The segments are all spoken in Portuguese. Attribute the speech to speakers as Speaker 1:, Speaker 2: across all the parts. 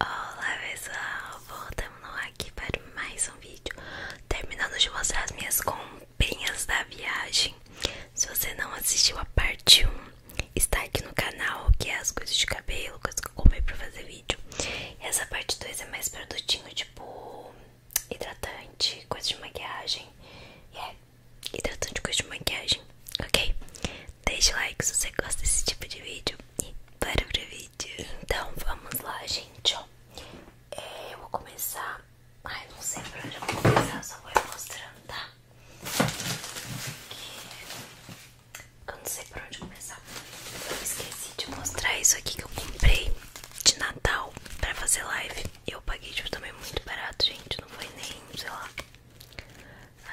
Speaker 1: Olá pessoal, voltamos aqui para mais um vídeo Terminando de mostrar as minhas comprinhas da viagem Se você não assistiu a parte 1 Está aqui no canal, que é as coisas de cabelo, coisas que eu comprei para fazer vídeo e Essa parte 2 é mais produtinho, tipo hidratante, coisa de maquiagem É, hidratante, coisa de maquiagem, ok? deixe like se você gosta desse tipo de vídeo e bora pro vídeo. Então vamos lá, gente. Ó. É, eu vou começar. Ai, não sei por onde eu vou começar, só vou ir mostrando, tá? Eu não sei por onde começar. Eu esqueci de mostrar isso aqui que eu comprei de Natal pra fazer live. Eu paguei, tipo, também muito barato, gente. Não foi nem, sei lá,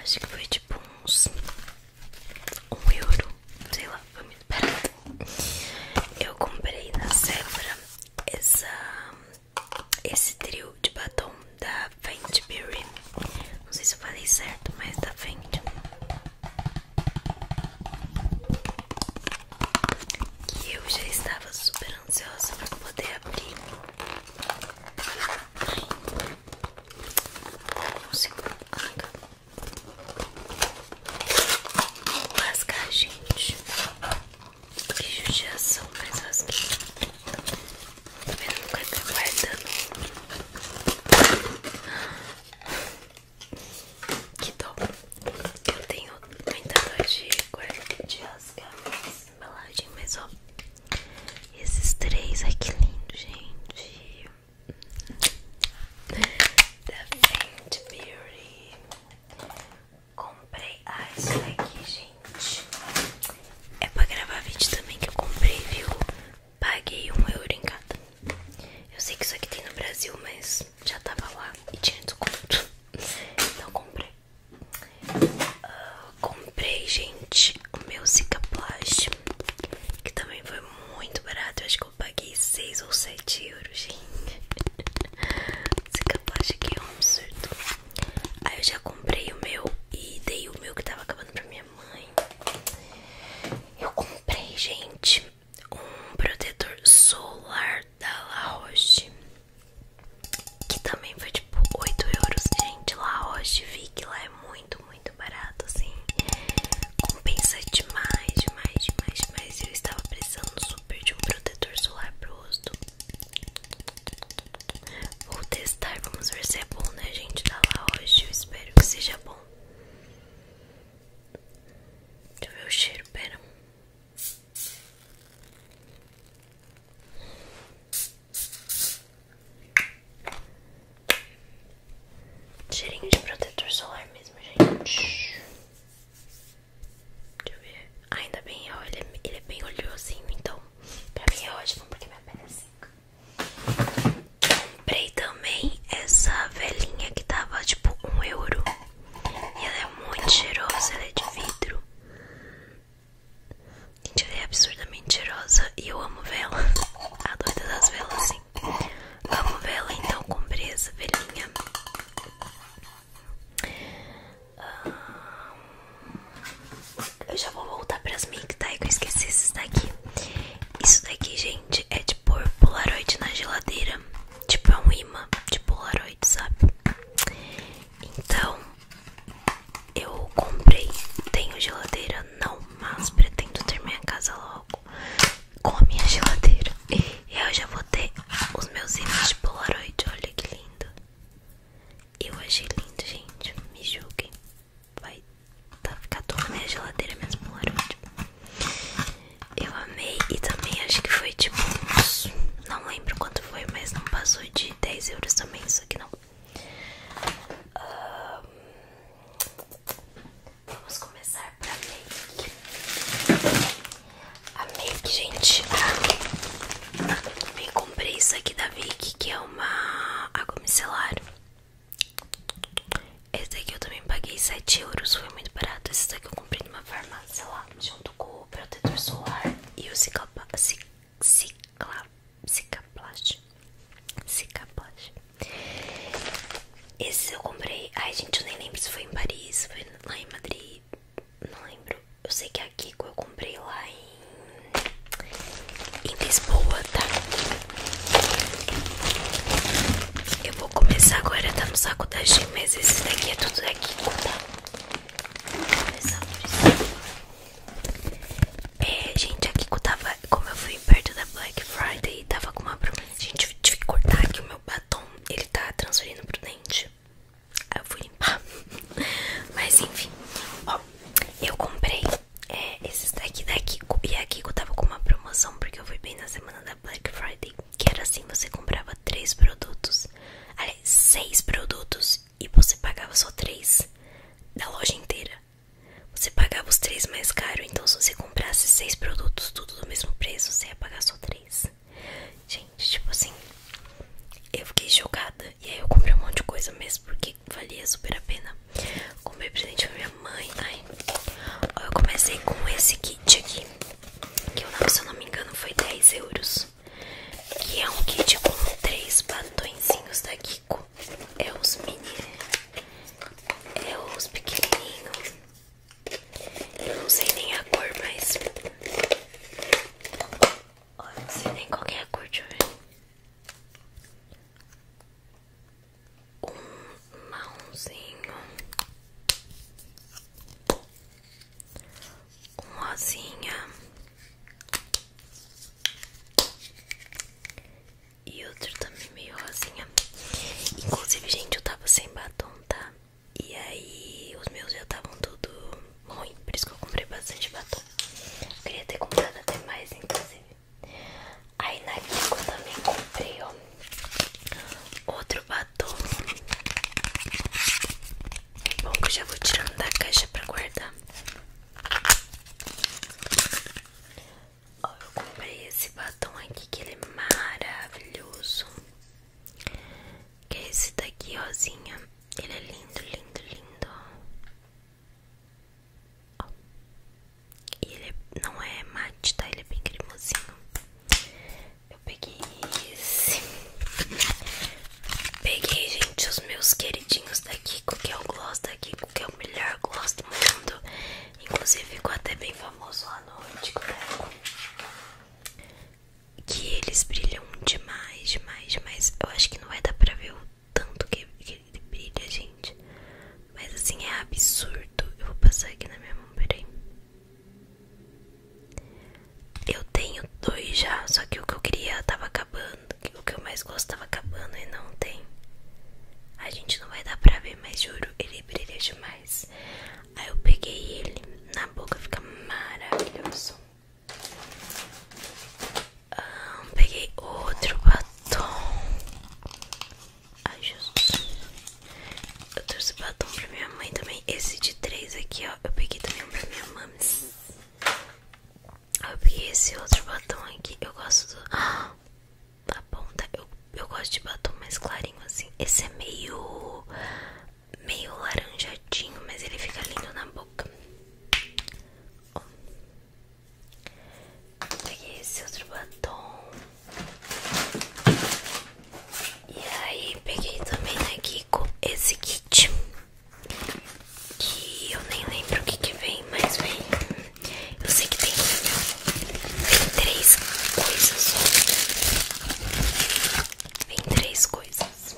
Speaker 1: Acho que foi tipo uns. Um euro. Sei lá, foi muito barato. Eu comprei na Sephora essa, esse trio de batom da Fenty Beauty. Não sei se eu falei certo, mas da Fenty. Que eu já estava super ansiosa para poder abrir. Ai consigo arrancar Rasgar, gente Que judiação, mas rasguei Tá vendo? quero tá guardando Que dó Eu tenho muita dor de, asca rasgar essa embalagem Mas ó Esses três, aqui lindo, gente da Fenty Beauty. Comprei ah, isso daqui, gente. É pra gravar vídeo também que eu comprei, viu? Paguei um euro em cada. Eu sei que isso aqui tem no Brasil, mas já tava lá e tinha desconto. Então comprei. Ah, comprei, gente, o meu Zika Plush. Que também foi muito barato. Eu acho que eu paguei 6 ou 7 euros, gente. Esse capacete que é um absurdo. Aí eu já comprei o meu e dei o meu que tava acabando pra minha mãe. Eu comprei, gente, um protetor solar da La Roche. Que também foi tipo 8 euros, gente. La Roche, vi que lá é muito, muito barato, assim. Compensa demais, demais, demais, demais. Eu estava precisando super de um protetor solar para o rosto. Vou testar, vamos ver se é bom, né, gente? Tá lá hoje, eu espero que seja bom. Deixa eu ver o cheiro, pera. Cheirinho de protetor solar mesmo, gente. Deixa eu ver. Ainda bem, ó, é, ele, é, bem oleosinho, então pra mim é ótimo porque minha pele é seca. Comprei também essa velhinha que tava tipo um euro. E ela é muito cheirosa, ela é de vidro. Gente, ela é absurdamente cheirosa e eu amo vela. A doida das velas, sim. Amo vela, então com presa velinha. Ah, eu já vou voltar pras mic, tá? Que eu esqueci esses daqui. Isso daqui, gente, é de pôr polaroid na geladeira. Tipo, é um imã de polaroid, sabe? Então, eu comprei, tenho geladeira não, mas pretendo ter minha casa logo com a minha geladeira. E eu já vou ter os meus itens de Polaroid, olha que lindo. Eu achei lindo, gente, me julguem. Vai tá ficar toda minha geladeira, mesmo Polaroid. Eu amei e também acho que foi tipo não lembro quanto foi, mas não passou de 10 euros também isso aqui não. Um, Vamos começar pra make. A make, gente. Ah, eu comprei isso aqui da Vic, que é uma água micelar. Esse daqui eu também paguei 7 euros, foi muito barato. Esse daqui eu comprei numa farmácia lá, junto com o protetor solar e o ciclapa, Cicaplast Cicaplast Esse eu comprei Ai gente, eu nem lembro se foi em Paris Foi lá em Madrid Não lembro Eu sei que é a Kiko eu comprei lá em Em Lisboa, tá? Eu vou começar agora Tá no saco da G Mas esse daqui é tudo da Kiko, tá? Vou começar por isso é, gente, aqui que eu tava, como eu fui perto da Black Friday, tava com uma promoção Gente, tive que cortar aqui o meu batom, ele tá transferindo pro dente. Aí eu fui limpar. Mas enfim, ó, eu comprei é, esses daqui da Kiko. E a Kiko tava com uma promoção, porque eu fui bem na semana da Black Friday. Que era assim: você comprava três produtos, aliás, seis produtos, e você pagava só três da loja inteira. Você pagava os três mais caro, então se você comprasse seis produtos, tudo do mesmo preço, você ia pagar só três. Gente, tipo assim, eu fiquei jogada E aí eu comprei um monte de coisa mesmo, porque valia super a pena. Comprei presente pra minha mãe. Ai, ó, eu comecei com esse kit aqui, que eu, se eu não me engano foi 10 euros. Que é um kit com três batonzinhos daqui com é os mini, é os pequenininhos. Eu não sei nem a cor, mas. Oh, eu não sei nem qual é a cor, de Um mãozinho. Um rosinha. E outro também meio rosinha Inclusive, gente, eu tava sem batom, tá? E aí os meus já estavam tudo ruim Por isso que eu comprei bastante batom Queria ter comprado até mais, inclusive Aí na Kiko eu também comprei, ó Outro batom Bom, que eu já vou tirando da caixa pra guardar Ó, eu comprei esse batom aqui que ele é maravilhoso. Que é esse daqui, rosinha. Ele é lindo, lindo, lindo. Ó. E ele é, não é mate, tá? Ele é bem cremosinho. Eu peguei esse. Peguei, gente, os meus queridinhos daqui, porque é o gloss da aqui porque é o melhor gosto do mundo. Inclusive ficou até bem famoso lá no Antico né? Que eles brilham demais, demais, demais. Eu acho que não vai dar pra ver o tanto que ele brilha, gente. Mas assim, é absurdo. Eu vou passar aqui na minha mão, peraí. Eu tenho dois já, só que o que eu queria tava acabando o que eu mais gosto tava acabando e não tem. A gente não vai dar pra ver, mas juro, ele brilha demais. Aí eu peguei ele, na boca fica maravilhoso. peguei outro batom. Ai, Eu trouxe batom pra minha mãe também. Esse de três aqui, ó. Eu peguei também um pra minha mãe. Eu peguei esse outro batom aqui. Eu gosto do. a ponta. Eu, eu gosto de batom mais clarinho assim. Esse é meio. meio laranjadinho, mas ele fica lindo na boca. Oh. Peguei esse outro batom. E aí, peguei também aqui com esse kit. Que eu nem lembro o que que vem, mas vem. Eu sei que tem, vem três coisas só. Vem três coisas.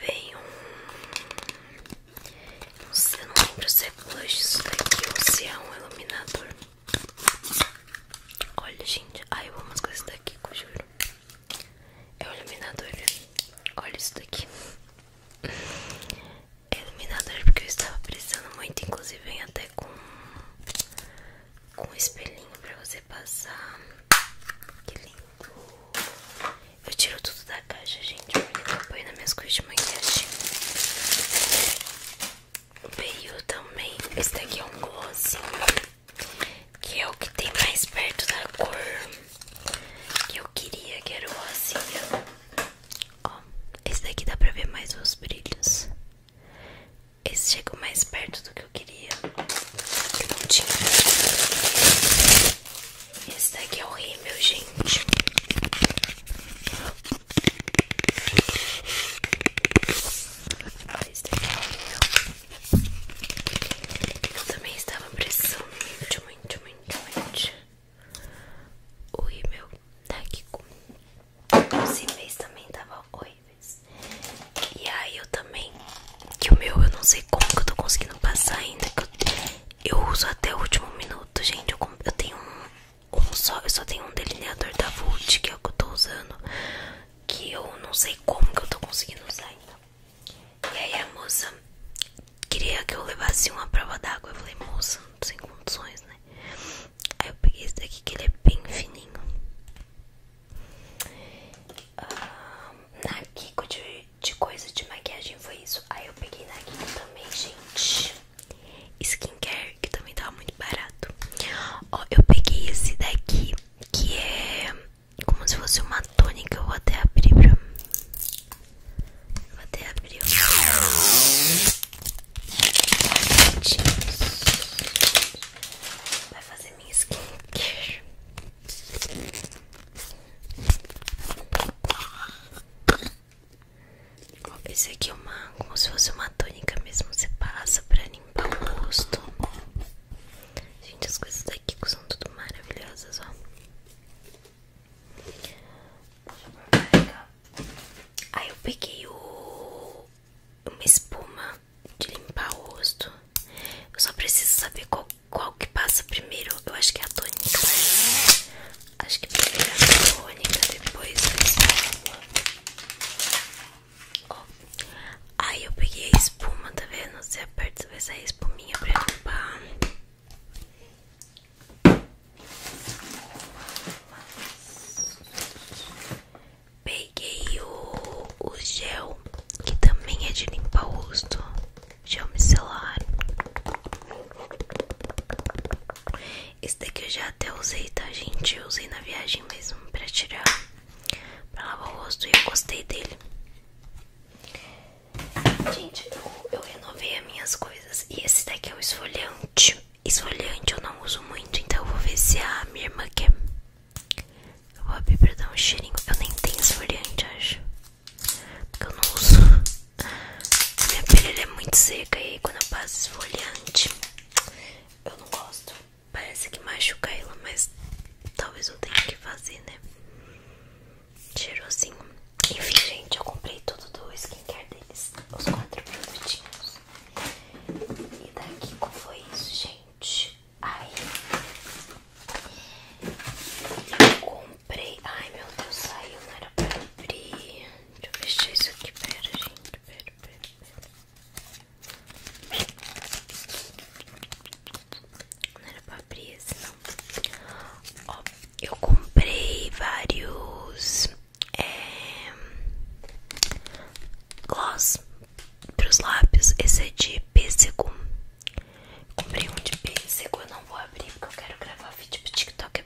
Speaker 1: Vem um. Não sei, eu não lembro se é blush isso daqui ou se é um iluminador. Olha, gente. Ai, eu amo as coisas daqui, eu juro. É o iluminador. Olha isso daqui. É iluminador porque eu estava precisando muito. Inclusive, vem até com com um espelhinho pra você passar. Que lindo. Eu tiro tudo da caixa, gente. Porque acompanha nas minhas coisas de maquiagem veio também. Esse daqui é um glossinho, que é o que tem mais perto da cor que eu queria, que era o rosinha. Ó, esse daqui dá pra ver mais os brilhos. Esse chegou mais perto do que eu queria. Eu não tinha. Esse daqui é o rímel, gente. Eu também estava pressando muito, muito, muito, muito tá o e-mail daqui os e também estavam horríveis. E aí eu também, que o meu eu não sei como que eu tô conseguindo passar ainda, que eu, eu uso até o último minuto, gente. Eu, eu tenho um um só, eu só tenho um delineador da Vult que é o que eu tô usando, que eu não sei como que eu tô conseguindo usar ainda. E aí a moça queria que eu levasse uma prova d'água, eu falei, moça, sem condições, né? Aí eu peguei esse daqui que ele é bem fininho. Ah, na Kiko de, de coisa de maquiagem foi isso. Aí eu peguei na Kiko também, gente skincare, que também tava muito barato. Ó, eu peguei esse daqui, que é como se fosse uma tônica. Eu vou até abrir pra... Vou até abrir Vai fazer minha skincare. Esse aqui é uma, como se fosse uma tônica mesmo, você passa pra limpar o rosto. Gente, as coisas daqui são tudo maravilhosas, ó. Aí eu peguei o, uma espuma de limpar o rosto. Eu só preciso saber qual, qual que passa primeiro. Eu acho que é a tônica, né? Acho que primeiro é a tônica, depois a espuma aí eu peguei a espuma, tá vendo? Você aperta, vai sair a espuminha pra limpar. Peguei o, o gel, que também é de limpar o rosto, gel micelar. Esse daqui eu já até usei, tá, gente? Eu usei na viagem mesmo pra tirar, pra lavar o rosto e eu gostei dele. Gente, eu, renovei as minhas coisas. E esse daqui é o esfoliante. Esfoliante eu não uso muito, então eu vou ver se a minha irmã quer. Eu vou abrir pra dar um cheirinho. Eu nem tenho esfoliante, acho. Porque eu não uso. minha pele é muito seca e quando eu passo esfoliante, eu não gosto. Parece que machuca ela, mas talvez eu tenha que fazer, né? Cheirosinho. Enfim, gente, eu comprei tudo do skincare deles. Os quatro produtinhos. E daqui como foi isso, gente. ai Eu comprei. Ai meu Deus, saiu, não era pra abrir. Deixa eu fechar isso aqui, pera, gente. Não era pra abrir esse, não. Ó, eu comprei vários é, gloss pros lábios. Esse é de pêssego. Comprei um de pêssego. Eu não vou abrir porque eu quero gravar vídeo pro TikTok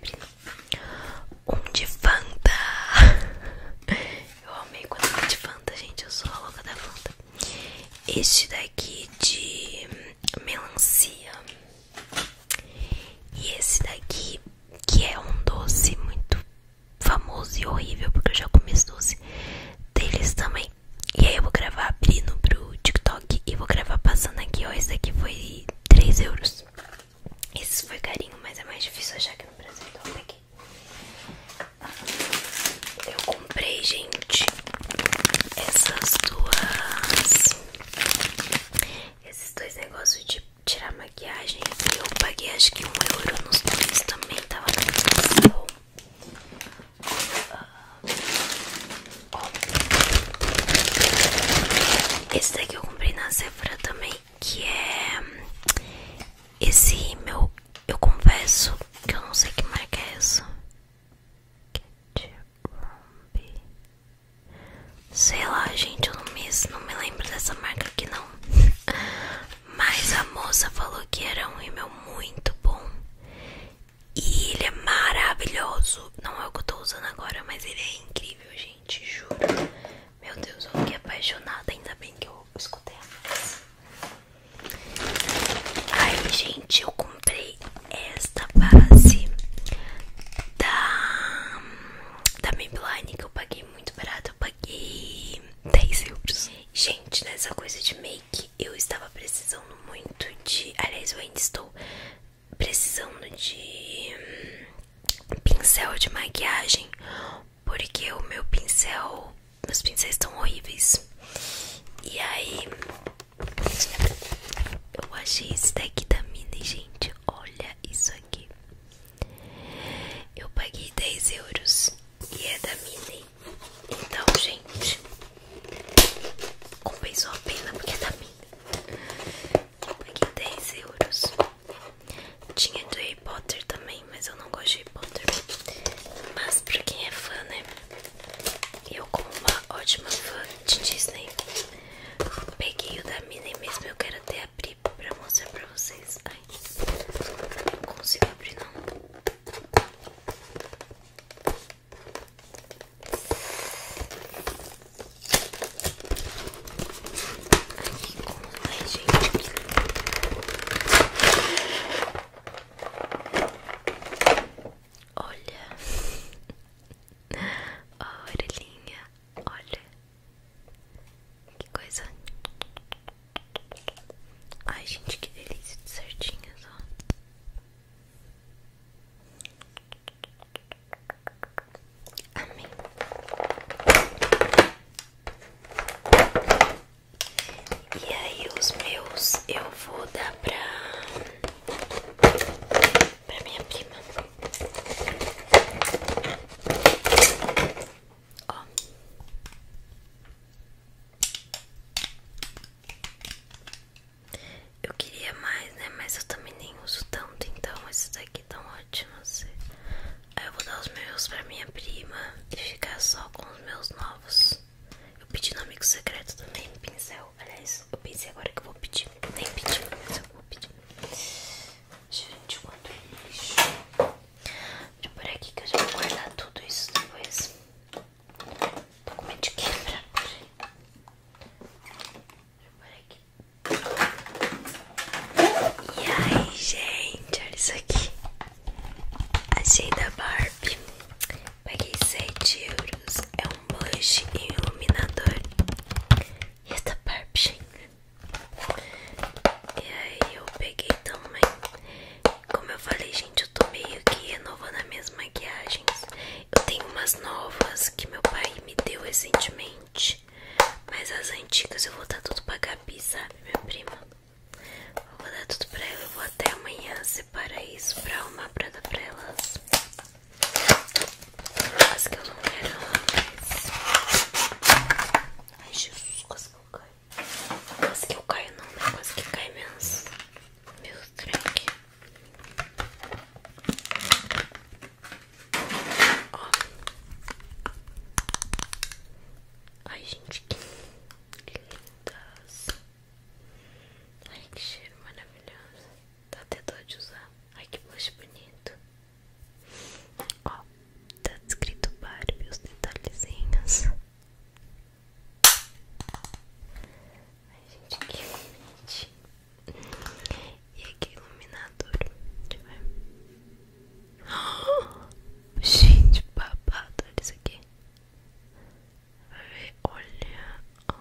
Speaker 1: um de Fanta. Eu amei quando foi de Fanta, gente. Eu sou a louca da Fanta. Este daqui de melancia. E esse daqui, que é um doce muito famoso e horrível, porque eu já comi doce deles também. E aí eu vou gravar abrindo pro TikTok e vou gravar passando aqui, ó. Esse daqui foi 3 euros. Esse foi carinho, mas é mais difícil achar aqui no Brasil, então eu Eu comprei, gente, essas duas. Esses dois negócios de tirar maquiagem. Eu paguei acho que um euro nos dois também. Tava na promoção. Esse daqui eu comprei na Sephora também que é esse meu. Eu confesso que eu não sei que marca é essa. Sei lá, gente, eu não me, lembro dessa marca aqui não. Mas a moça falou que era um rímel muito bom. E ele é maravilhoso. Não é o que eu tô usando agora, mas ele é incrível, gente, juro. Meu Deus, eu fiquei apaixonada. Ainda bem que eu escutei a voz. Aí, gente, eu comprei esta base da, da Maybelline que eu paguei muito barato. Eu paguei 10 euros. Gente, nessa coisa de make, eu estava precisando muito de. Aliás, eu ainda estou precisando de hum, pincel de maquiagem, porque o meu pincel, meus pincéis estão horríveis. E aí, eu achei esse daqui da Mini, gente. Olha isso aqui. Eu paguei 10 euros e é da Mini. Então, gente, compensou a pena porque é da Mini. Eu paguei 10 euros. Tinha do Harry Potter também, mas eu não gosto de Harry Potter. Mas pra quem é fã, né? Eu, como uma ótima fã de Disney, peguei o da Minnie mesmo. Eu quero até abrir pra mostrar pra vocês. Ai, não consigo abrir, não. Aqui com gente Olha Ó a orelhinha Olha Que coisa Ai gente que delícia de certinhas ó Amém. E aí os meus eu vou dar pra para minha prima. Eu queria mais, né? Mas eu também nem uso tanto, então esses daqui que tão ótimos. Aí eu vou dar os meus pra minha prima e ficar só com os meus novos. Eu pedi no amigo secreto também, pincel. Aliás, eu pensei agora que eu vou pedir. Nem pedi, mas eu vou pedir. Gente, quanto lixo. Deixa eu aqui que eu já vou guardar tudo isso depois. Tô com medo de quebrar. Deixa eu aqui. E aí, gente, olha isso aqui. Achei da Barbie. Paguei 7 euros. É um blush e iluminador. E esta é Barbie, gente. E aí, eu peguei também. Como eu falei, gente, eu tô meio que renovando as minhas maquiagens. Eu tenho umas novas que meu pai me deu recentemente. Mas as antigas eu vou dar tudo pra Gabi, sabe, minha prima? Vou dar tudo pra ela. Eu vou até amanhã separar isso pra uma pra dar pra elas. As que eu não quero mais. Ai, Jesus, quase que eu caio. Quase que eu caio, não, né? Quase que cai mesmo. Meu Ó. Ai, gente, que lindas. Ai, que cheiro maravilhoso. Dá até dó de usar. Ai, que blush bonito. Ó, tá escrito Barbie, os detalhezinhos. Ai, gente, que bonitinho. E aqui iluminador. gente, babado. Olha isso aqui. Olha.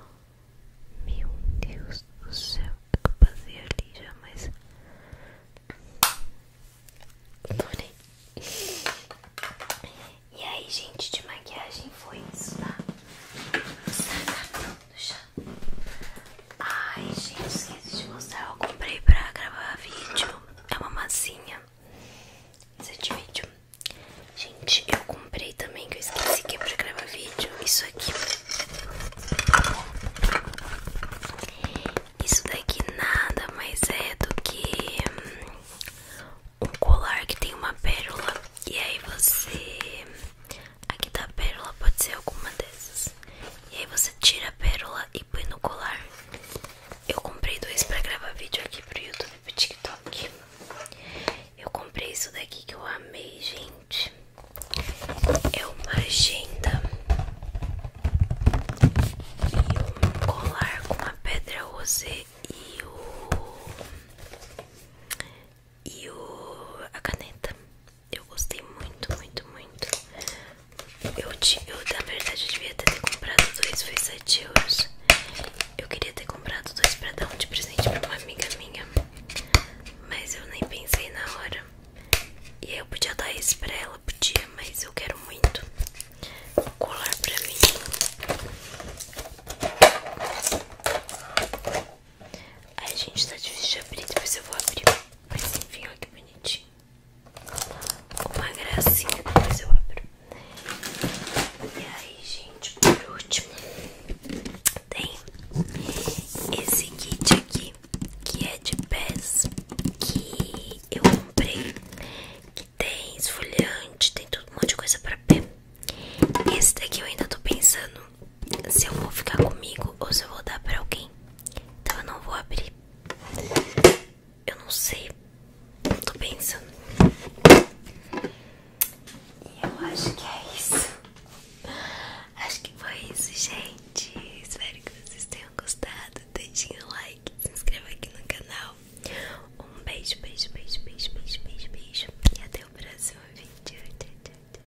Speaker 1: meu Deus do céu. Eu passei ali já, mas. Adorei. Né? E aí, gente, de maquiagem foi isso, tá? Saca no chão. Ai, gente, esqueci de mostrar. Eu comprei pra gravar vídeo. É uma massinha. Esse é vídeo. Gente, eu comprei também, que eu esqueci que é pra gravar vídeo. Isso aqui. Isso daqui nada mais é do que hum, um colar que tem uma pérola. E aí você Aqui tá a pérola, pode ser alguma dessas. E aí você tira a pérola e põe no colar. Eu comprei dois pra gravar vídeo aqui pro YouTube e pro TikTok. Eu comprei isso daqui que eu amei, gente. É uma agenda e um colar com a pedra rosé e o. E o, a caneta eu gostei muito, muito, muito. Eu, eu na verdade, eu devia ter comprado dois, foi 7 euros. Eu queria ter comprado dois pra dar um de presente pra uma amiga minha. Mas eu nem pensei na hora. E aí eu podia dar esse pra ela, podia, mas eu quero muito colar pra mim. Ai, gente, tá difícil de abrir, depois eu vou abrir. Mas enfim, olha que bonitinho. Uma gracinha, depois eu abro. E aí, gente, por último, tem esse kit aqui, que é de pés, que eu comprei, que tem esfoliante, tem tudo, um monte de coisa pra pé. Esse daqui eu ainda tô pensando se eu vou ficar comigo ou se eu vou dar pra alguém. Então eu não vou abrir. Eu não sei. Eu tô pensando. E eu acho que é isso. Acho que foi isso, gente. Espero que vocês tenham gostado. Deixem o like, se inscreva aqui no canal. Um beijo, beijo, beijo, beijo, beijo, beijo, beijo. E até o próximo vídeo. Tchau, tchau, tchau.